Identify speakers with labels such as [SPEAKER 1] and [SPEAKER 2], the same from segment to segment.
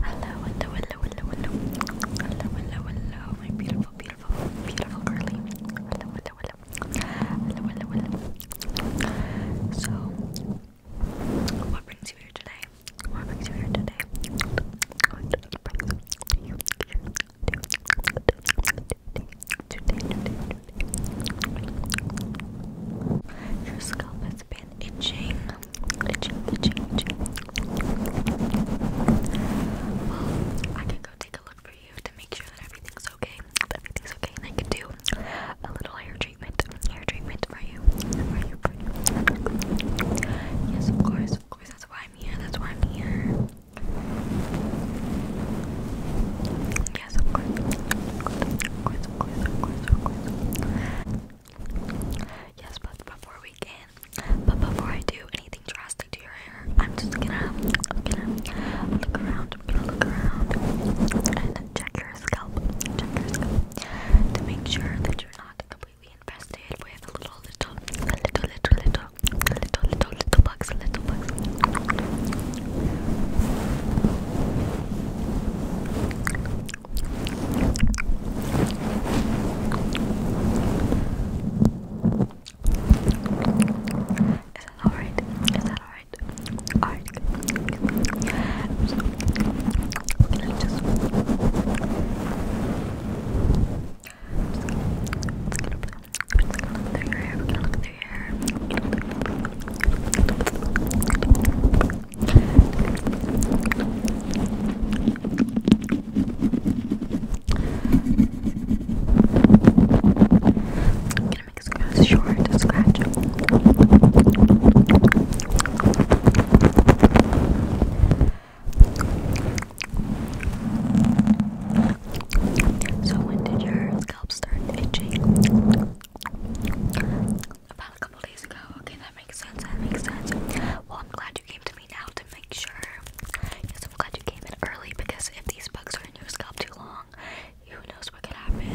[SPEAKER 1] Hello, hello, hello, hello, hello. Hello, hello, my beautiful, beautiful, beautiful girly. Hello, hello, hello. Hello, hello, hello. So, what brings you here today? What brings you here today. Your scalp has been itching. Itching, itching, Well, I can go take a look for you to make sure that everything's okay. everything's okay, I can do a little hair treatment, hair treatment for you. Yes, of course, of course. That's why I'm here. That's why I'm here yes, of course. Yes, but before we can, but before I do anything drastic to your hair, I'm just gonna, look around, I'm gonna look around and check your scalp, check your scalp to make sure that you're not completely infested with a little, little, little, little, little, little, little bugs, little bugs. Is that alright? Is that alright? Alright. So, let just. just gonna, just gonna look through your hair. We're gonna look through your hair. We're gonna look through your hair. I'm gonna make this short to scratch. So when did your scalp start itching? about a couple days ago. Okay, that makes sense. That makes sense. Well, I'm glad you came to me now to make sure. Yes, I'm glad you came in early because if these bugs are in your scalp too long, who knows what could happen?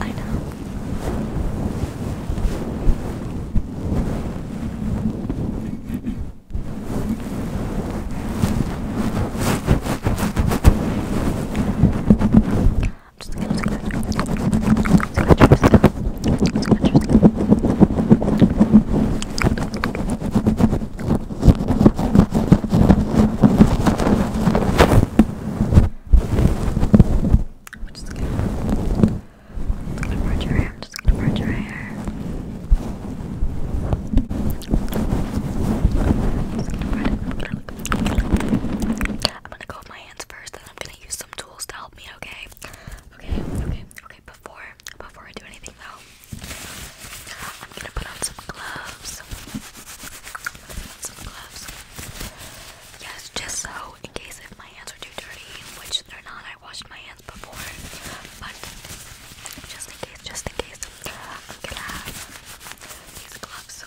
[SPEAKER 1] I know just gonna scratch, scratch, scratch, scratch, scratch, I'm just gonna, I'm just gonna part your hair. I'm just gonna part your hair. I'm just gonna part it. I'm gonna I'm gonna go with my hands first, then I'm gonna use some tools to help me, okay? Okay, okay, okay. Before before I do anything though, I'm gonna put on some gloves. Some gloves. Yes, just so in case if my hands are too dirty, which they're not, I washed my hands before. But just in case, just in case, these gloves.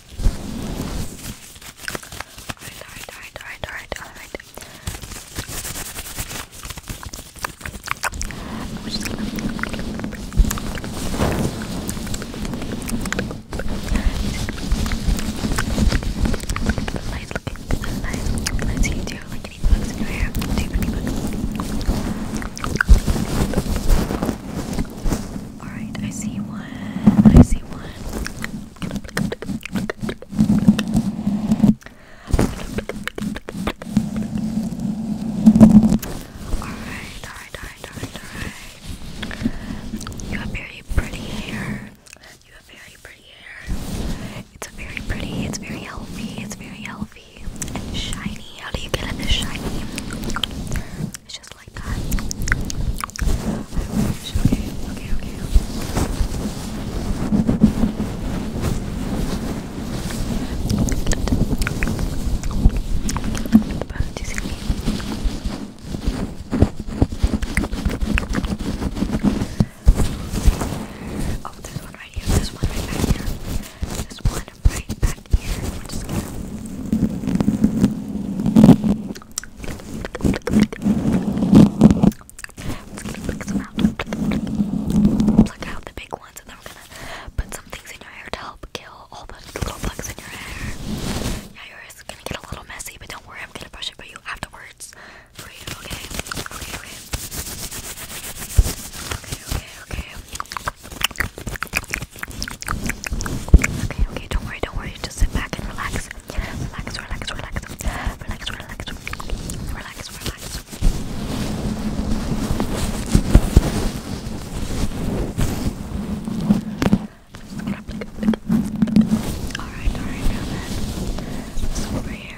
[SPEAKER 1] Alright, alright, alright, alright, alright, alright. I'm just gonna Let's look into the light. Let's see you do like any bugs in your hair. Do you have any bugs? Alright, I see one. I see one. Alright, alright, alright, alright, alright. You have very pretty hair. You have very pretty hair. It's very pretty, it's very healthy, it's very healthy. And shiny. How do you get it this shiny? just like that. I wish. Okay, okay, okay. But do you see me? Oh, there's one right here. There's one right back here. There's one right back here. We're just gonna Pluck out the big ones, and then we're gonna put some things in your hair to help kill all the little plugs in your hair. Yeah, your hair's gonna get a little messy, but don't worry, I'm gonna brush it for you afterwards. For you, Okay, okay. Okay, okay, okay. Okay, okay, don't worry, don't worry. Just sit back and relax. Relax, relax, relax. Relax, relax. Relax, relax. Alright, alright, now then. So over here.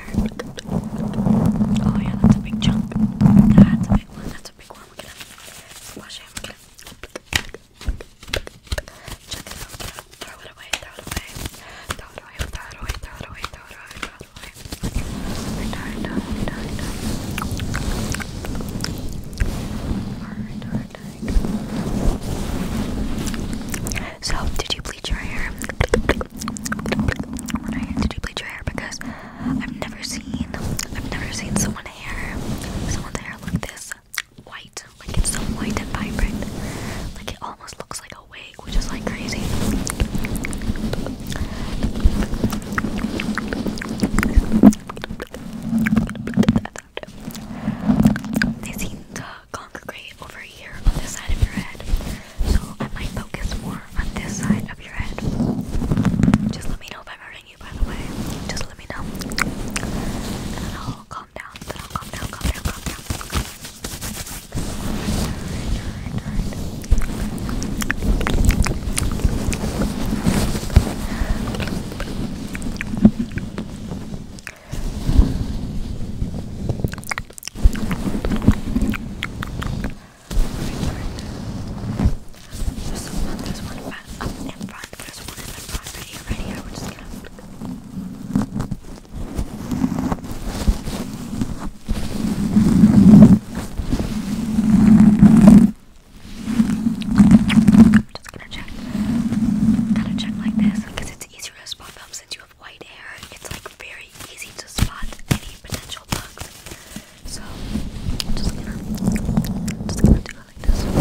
[SPEAKER 1] Oh yeah, that's a big chunk. That's a big one, that's a big one. We're gonna squash it. We're gonna so, did you bleach your hair? did you bleach your hair? Because I've never seen I've never seen someone hair someone's hair like this white, like it's so white and vibrant, like it almost looks like a wig, which is like crazy. They seem to congregate over here on this side of your head, so I might focus more on this side of your head. Just let me know if I'm hurting by the way. Just let me know. And I'll calm down. I'll calm down, calm down, calm down. Alright, alright, Just put one back up one there's one in the front right here, here. We're just gonna i check. Gotta check like this because it's easier to spot
[SPEAKER 2] them since you have white hair. It's like very easy to spot any potential bugs. So just gonna just gonna do smelling this one.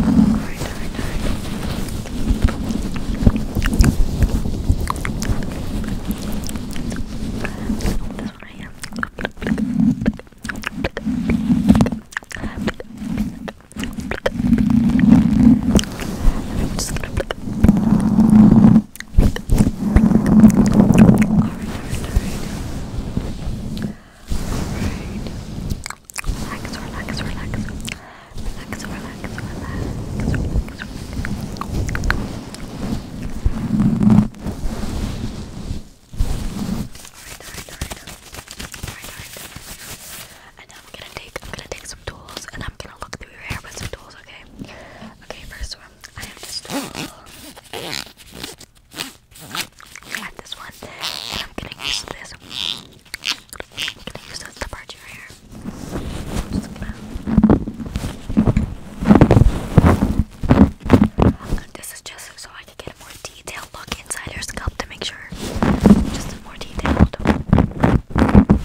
[SPEAKER 2] Alright, alright, alright. This one right here. I'm
[SPEAKER 1] just gonna Alright, Alright. Relax, relax, relax. Relax, relax, relax, Alright, alright, alright. And now I'm gonna take I'm gonna take some tools and I'm gonna look through your hair with some tools, okay? Okay, first one. I have this one, and I'm gonna use this. I'm gonna use this to part your hair. I'm just gonna... This is just so I can get a more detailed look inside your scalp to make sure. Just a more detailed. Okay, okay.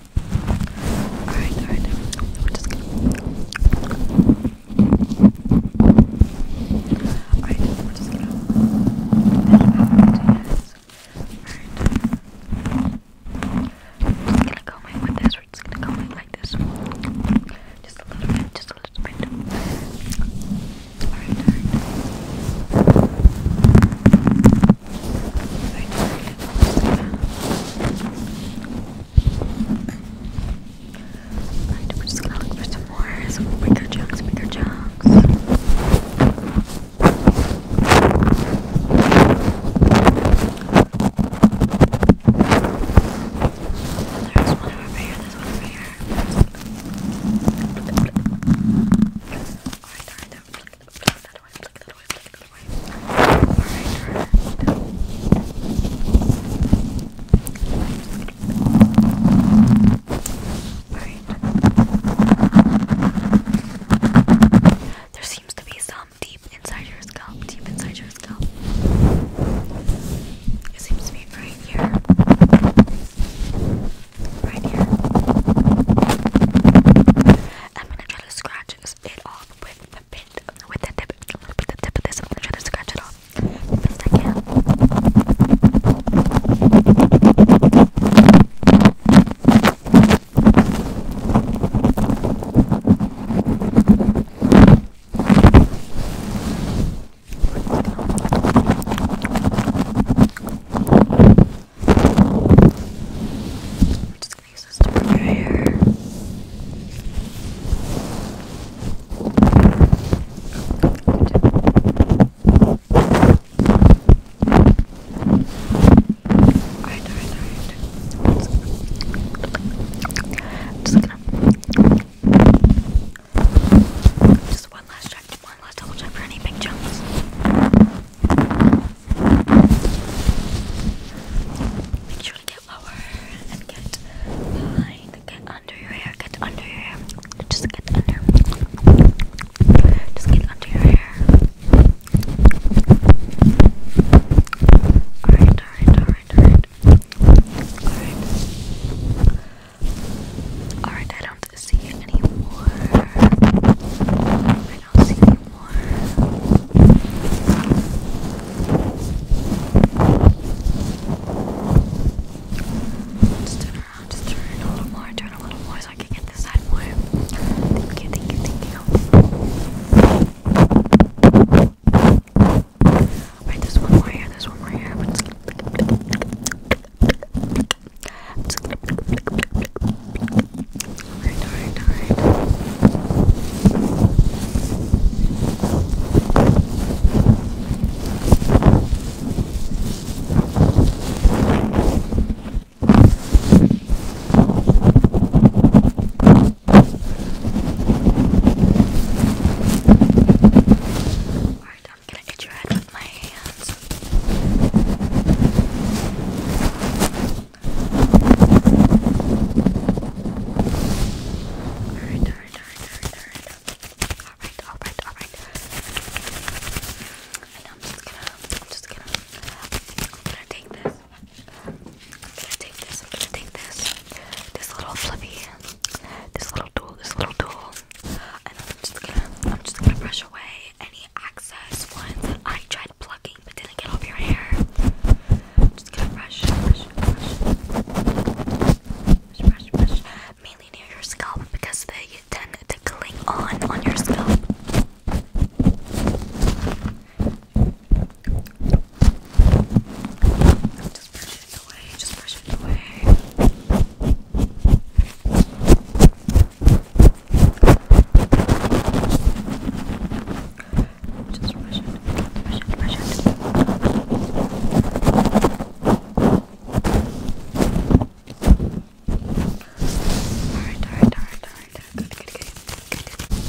[SPEAKER 1] Alright, alright. We're just gonna. Alright, we're just gonna. We're just gonna comb it this. We're just gonna comb like this. Just a little bit, just a little bit. Alright, alright. I don't get lost in that. Alright, we're just gonna look for some more, some bigger chunks, bigger chunks. There's one over here, there's one over here. Alright, alright, there seems to be some deep inside your scalp, deep inside your scalp. It seems to be right here. Right here. I'm gonna try to scratch it off with the bit, with the tip, with the tip of this. I'm gonna try to scratch it off best I can places to put your hair. Alright, alright, alright. Just gonna. Just one last check, one last double check for any big jumps. Make sure to get lower and get behind, get under your hair, get under your hair. Just get under. Just get under your hair. Alright, alright, alright, alright. Alright. Alright, I don't see any more i Just turn around, just turn a little more, turn a little more so I can get this side more. Thank you, thank you, thank you. Alright, there's one more here, this one more here. Alright, alright, alright. Alright, I'm gonna get your head with my hands. Alright, alright, alright, alright, alright. Alright, alright, alright. And I'm just gonna, I'm just gonna, I'm gonna take this. I'm gonna take this, I'm gonna take this. This little flippy, this little tool, this little tool. And I'm just gonna, I'm just gonna brush away any excess ones I tried plucking but didn't get off your hair. Just gonna brush, brush, brush. Brush, brush, brush. Mainly near your scalp because they tend to cling on on your scalp. Just brush it away, just brush it away. Just brush it, brush it, brush it. Alright, alright, alright, alright. Good, good, good. good.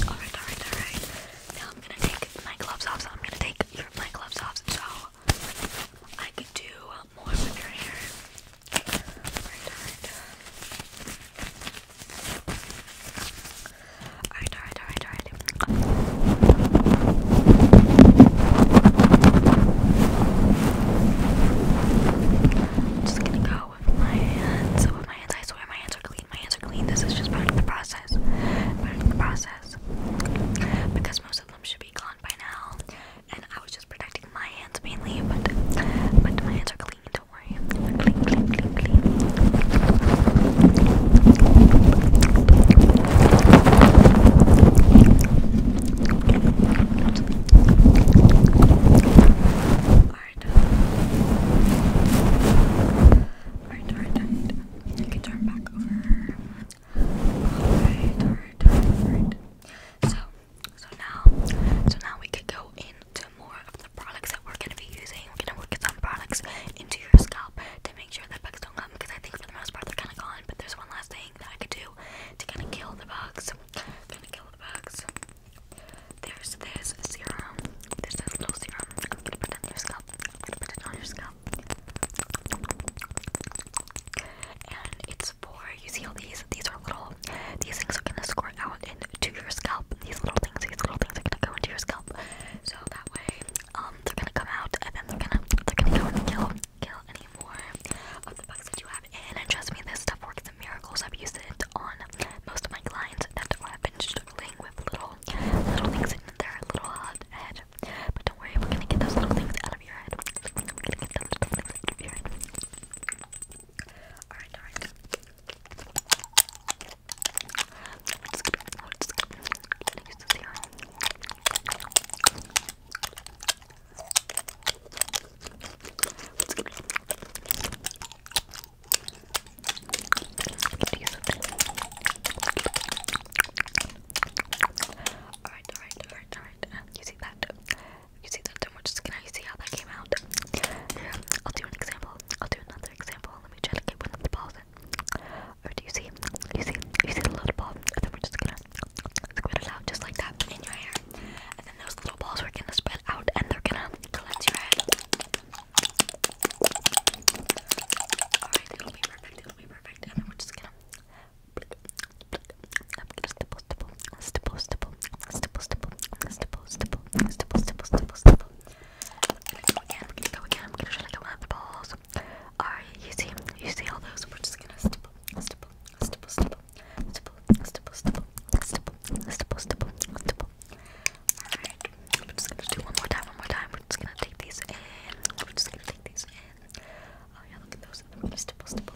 [SPEAKER 1] Alright, alright, alright. Now I'm gonna take my gloves off, so I'm gonna take your, my gloves off so I can do more with your hair. Alright, alright. Alright, alright, alright, alright. Just gonna go with my hands. With my hands, I swear my hands are clean. My hands are clean. This is just part of the process. Part of the process. Because most of them should be gone by now. And I was just protecting my hands mainly, but but my hands are clean. Don't worry. Clean, clean, clean, clean. Alright. Alright, alright, alright. You can turn back over. Alright, alright, alright. So, so now, so now we could go into more of the products that we're gonna be using. We're gonna work some products into your scalp to make sure that bugs don't come because I think for the most part they're kind of gone. But there's one last thing that I could do to kind of kill the bugs. Gonna kill the bugs. There's this serum. There's this little serum. I'm gonna put it on your scalp. put it on your scalp. And it's for
[SPEAKER 2] you see all these. These are little. These things are gonna going out into your scalp. These little things, these
[SPEAKER 1] little things are gonna go into your scalp. So that way, um, they're gonna come out and then they're gonna they're gonna go and kill kill any more of the bugs that you have in. And trust me, this stuff works in miracles. I've used it on most of my clients that have been struggling with little little things in their little head. But don't worry, we're gonna get those little things out of your head. We're gonna get those little things out of your head. Alright, alright. Alright, alright, alright, alright. Um, you see that? You see that too much skin. You see how that came out? Yeah. I'll do an example. I'll do another example. Let me try to get one of the balls in. Or do you see? You see? You see the little ball? then we're just gonna squid it out just like that in your hair. And then those little balls are gonna spread out and they're gonna cleanse your head. Alright, it'll be perfect. It'll be perfect. And then we're just gonna. I'm stipple, stipple, stipple, stipple, stipple, stipple, stipple, stipple, stipple, stipple. We're gonna go again, we're gonna go again, we're gonna try to go at the balls. Alright, you see, you see all those, we're just gonna stipple, stipple, stipple, stipple, stipple, stipple, stipple, stipple, stipple, stipple, stipple. Alright, we're just gonna do one more time, one more time, we're just gonna take these in, we're just gonna take these in. Oh yeah, look at those, stipple, stipple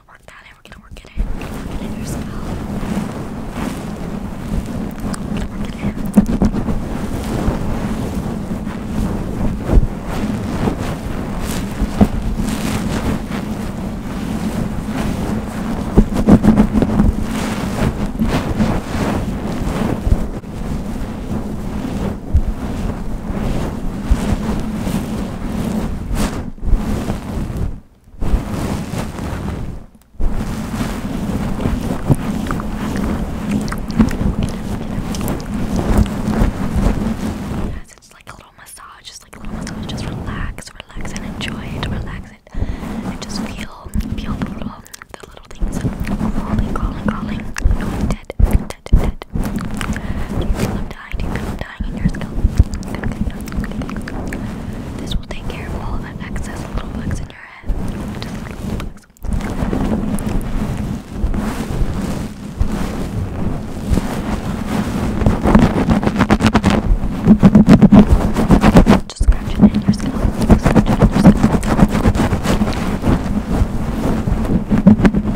[SPEAKER 1] gonna work that in. We're gonna work it in. We're gonna work it in your scalp. We're gonna work it in. We're Yes, it's like a little massage, just like a little massage. Just relax, relax, and enjoy it. Relax it, and just feel, feel the little, the little things calling, calling, calling. No, I'm dead, dead, dead. You love dying to dying in your scalp. This will take care of all that excess little bugs in your head. Just scratch it in your
[SPEAKER 2] scalp. Scratch it in your scalp.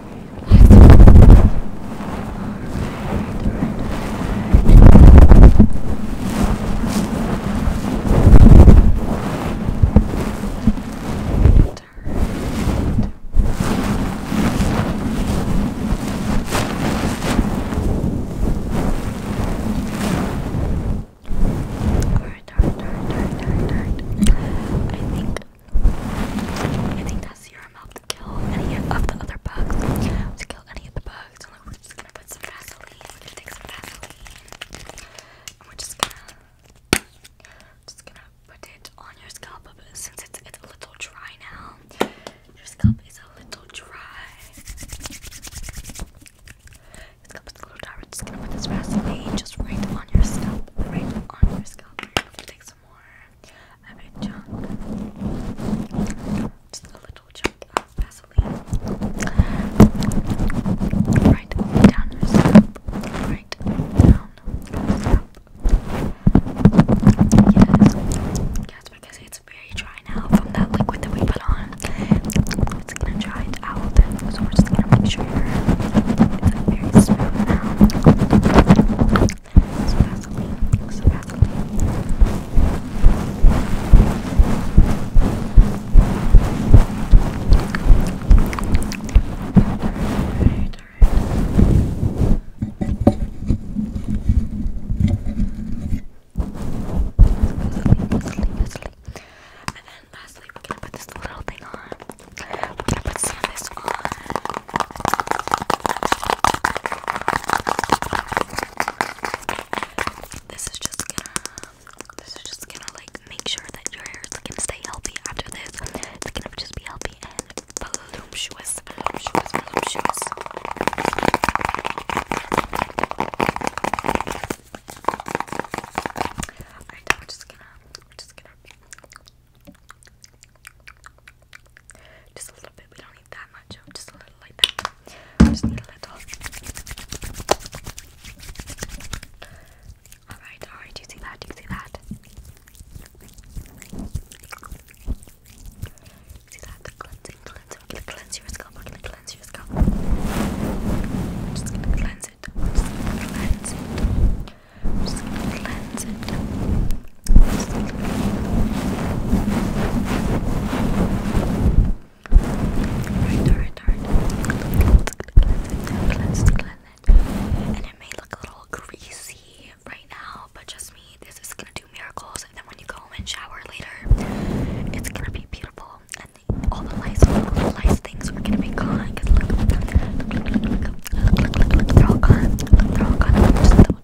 [SPEAKER 2] I think
[SPEAKER 1] I think that's your serum help to kill any of the other bugs. To kill any of the bugs. we're just gonna put some Vaseline. We're gonna take some Vaseline. we're just gonna just gonna put it on your scalp since it's it's a little dry now. Your scalp is a little dry. Your scalp is a little dry. We're just gonna put this Vaseline just right on your scalp. Right on your scalp a little chunk of Vaseline, right down your scalp, right down your scalp. Yes, yes, because it's very dry now from that liquid that we put on. It's gonna dry it out, so we're just gonna make sure it's very smooth now. It's Vaseline. It's Vaseline. Alright, alright. And then lastly, we're gonna put this little thing on. We're gonna put some of this on. This is just gonna this is just gonna like make sure that your hair can stay healthy after this. It's gonna just be healthy and voluptuous, voluptuous, voluptuous. Alright, now we're just gonna we're just gonna just a little bit. We don't need that much. Oh, just a little like that. Just need a little. Alright, alright. Do you see that? Do you see that? See that? The cleansing, cleansing. We're gonna cleanse your scalp. We're gonna cleanse your scalp. We're just gonna cleanse it. We're just gonna cleanse it. I'm just gonna cleanse it. And it may look a little greasy right now, but just me, this is gonna do miracles. And then when you go and shower later, it's gonna be beautiful. And all the lice, all the lice things are gonna be gone. they're all gone. they're all gone.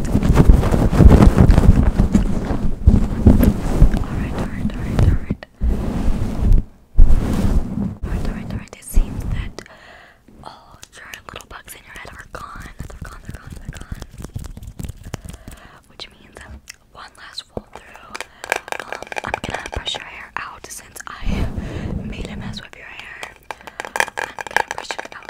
[SPEAKER 1] Alright, alright, alright, alright. Alright, alright, alright. It seems that all your little bugs in your head are gone. They're gone, they're gone, they're gone. Which means one last roll through. Um, I'm gonna brush your hair out since I made a mess with your hair. I'm gonna brush it out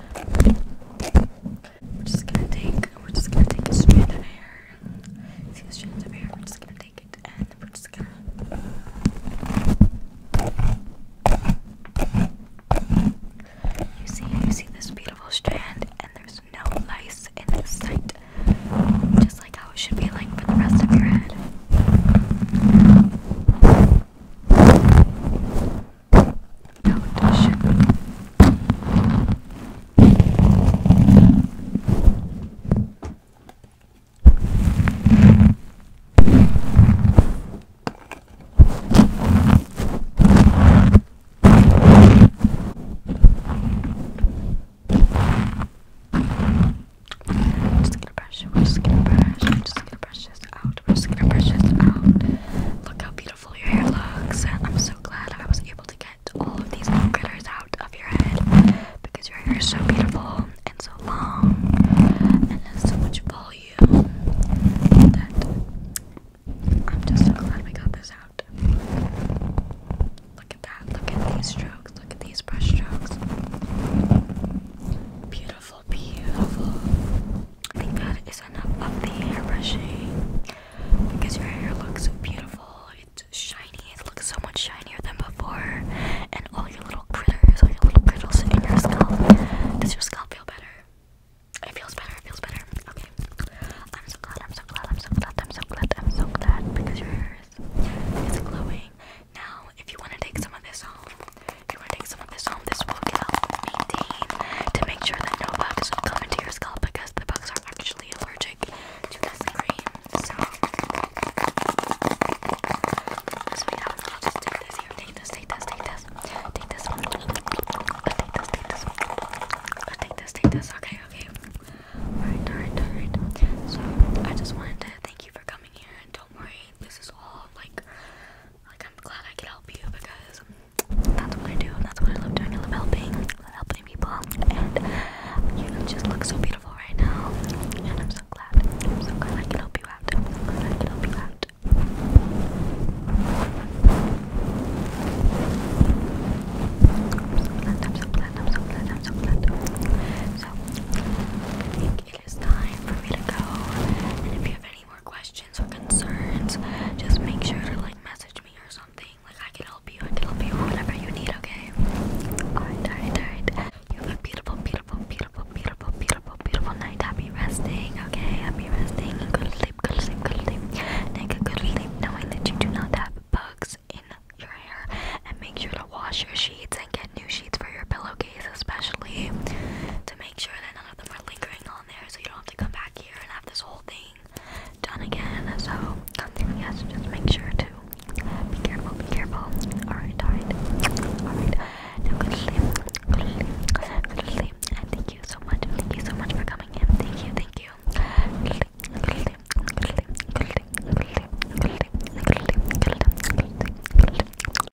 [SPEAKER 1] We're just gonna take we're just gonna take a strand of hair. See the of hair, we're just gonna take it and we're just gonna You see you see this beautiful strand and there's no lice in sight. Just like how it should be like for the rest of your head. Notation. Just gonna brush. We're just gonna brush. We're just gonna brush brushes out. We're just gonna brush this out. Look how beautiful your hair looks. I'm so glad I was able to get all of these little critters out of your head because your hair is so beautiful and so long and has so much volume that I'm just so glad we got this out. Look at that. Look at these strokes. Look at these brush strokes. Beautiful beautiful, beautiful. I think that is enough of the hair brushing because your hair looks so beautiful. It's shiny. It looks so much shinier than before. And all your little critters, all your little crittles in your scalp. Does your scalp feel better? It feels better, it feels better. Okay. I'm so glad, I'm so glad, I'm so glad, I'm so glad, I'm so glad because your hair is it's glowing. Now, if you want to take some of this home, you want to some of this home. This will help maintain to make sure that no bugs come into your scalp because the bugs are actually allergic to this cream. So, I'll just take this here. Take this, take this, take this. Take this. i take this, take this. take this, take this. Okay, okay. Alright, alright, alright. So, I just wanted to thank you for coming here and don't worry, this is all like like, I'm glad I could help you because that's what I do. and That's what I love doing. I helping, helping people. And you just look so beautiful right now. And I'm so glad. I'm so glad I can help you out. i I can help you out. I'm so glad. I'm so glad. I'm so glad. I'm so glad. it is time for me to go. And if you have any more questions or concerns, just make sure to like message me or something. Like I can help you, I can help you whatever you need, okay? Alright, alright, alright. You have a beautiful, beautiful, beautiful, beautiful, beautiful, beautiful night. Happy resting, okay? Happy resting. Good sleep, good sleep, good sleep. Take a good sleep knowing that you do not have bugs in your hair. And make sure to wash your sheets and get new sheets for your pillowcase, especially to make make sure that none of them are lingering on there so you don't have to come back here and have this whole thing done again. So, yes, just make sure to be careful, be careful. Alright, alright. Alright. thank you so much. Thank you so much for coming in. Thank you, thank you.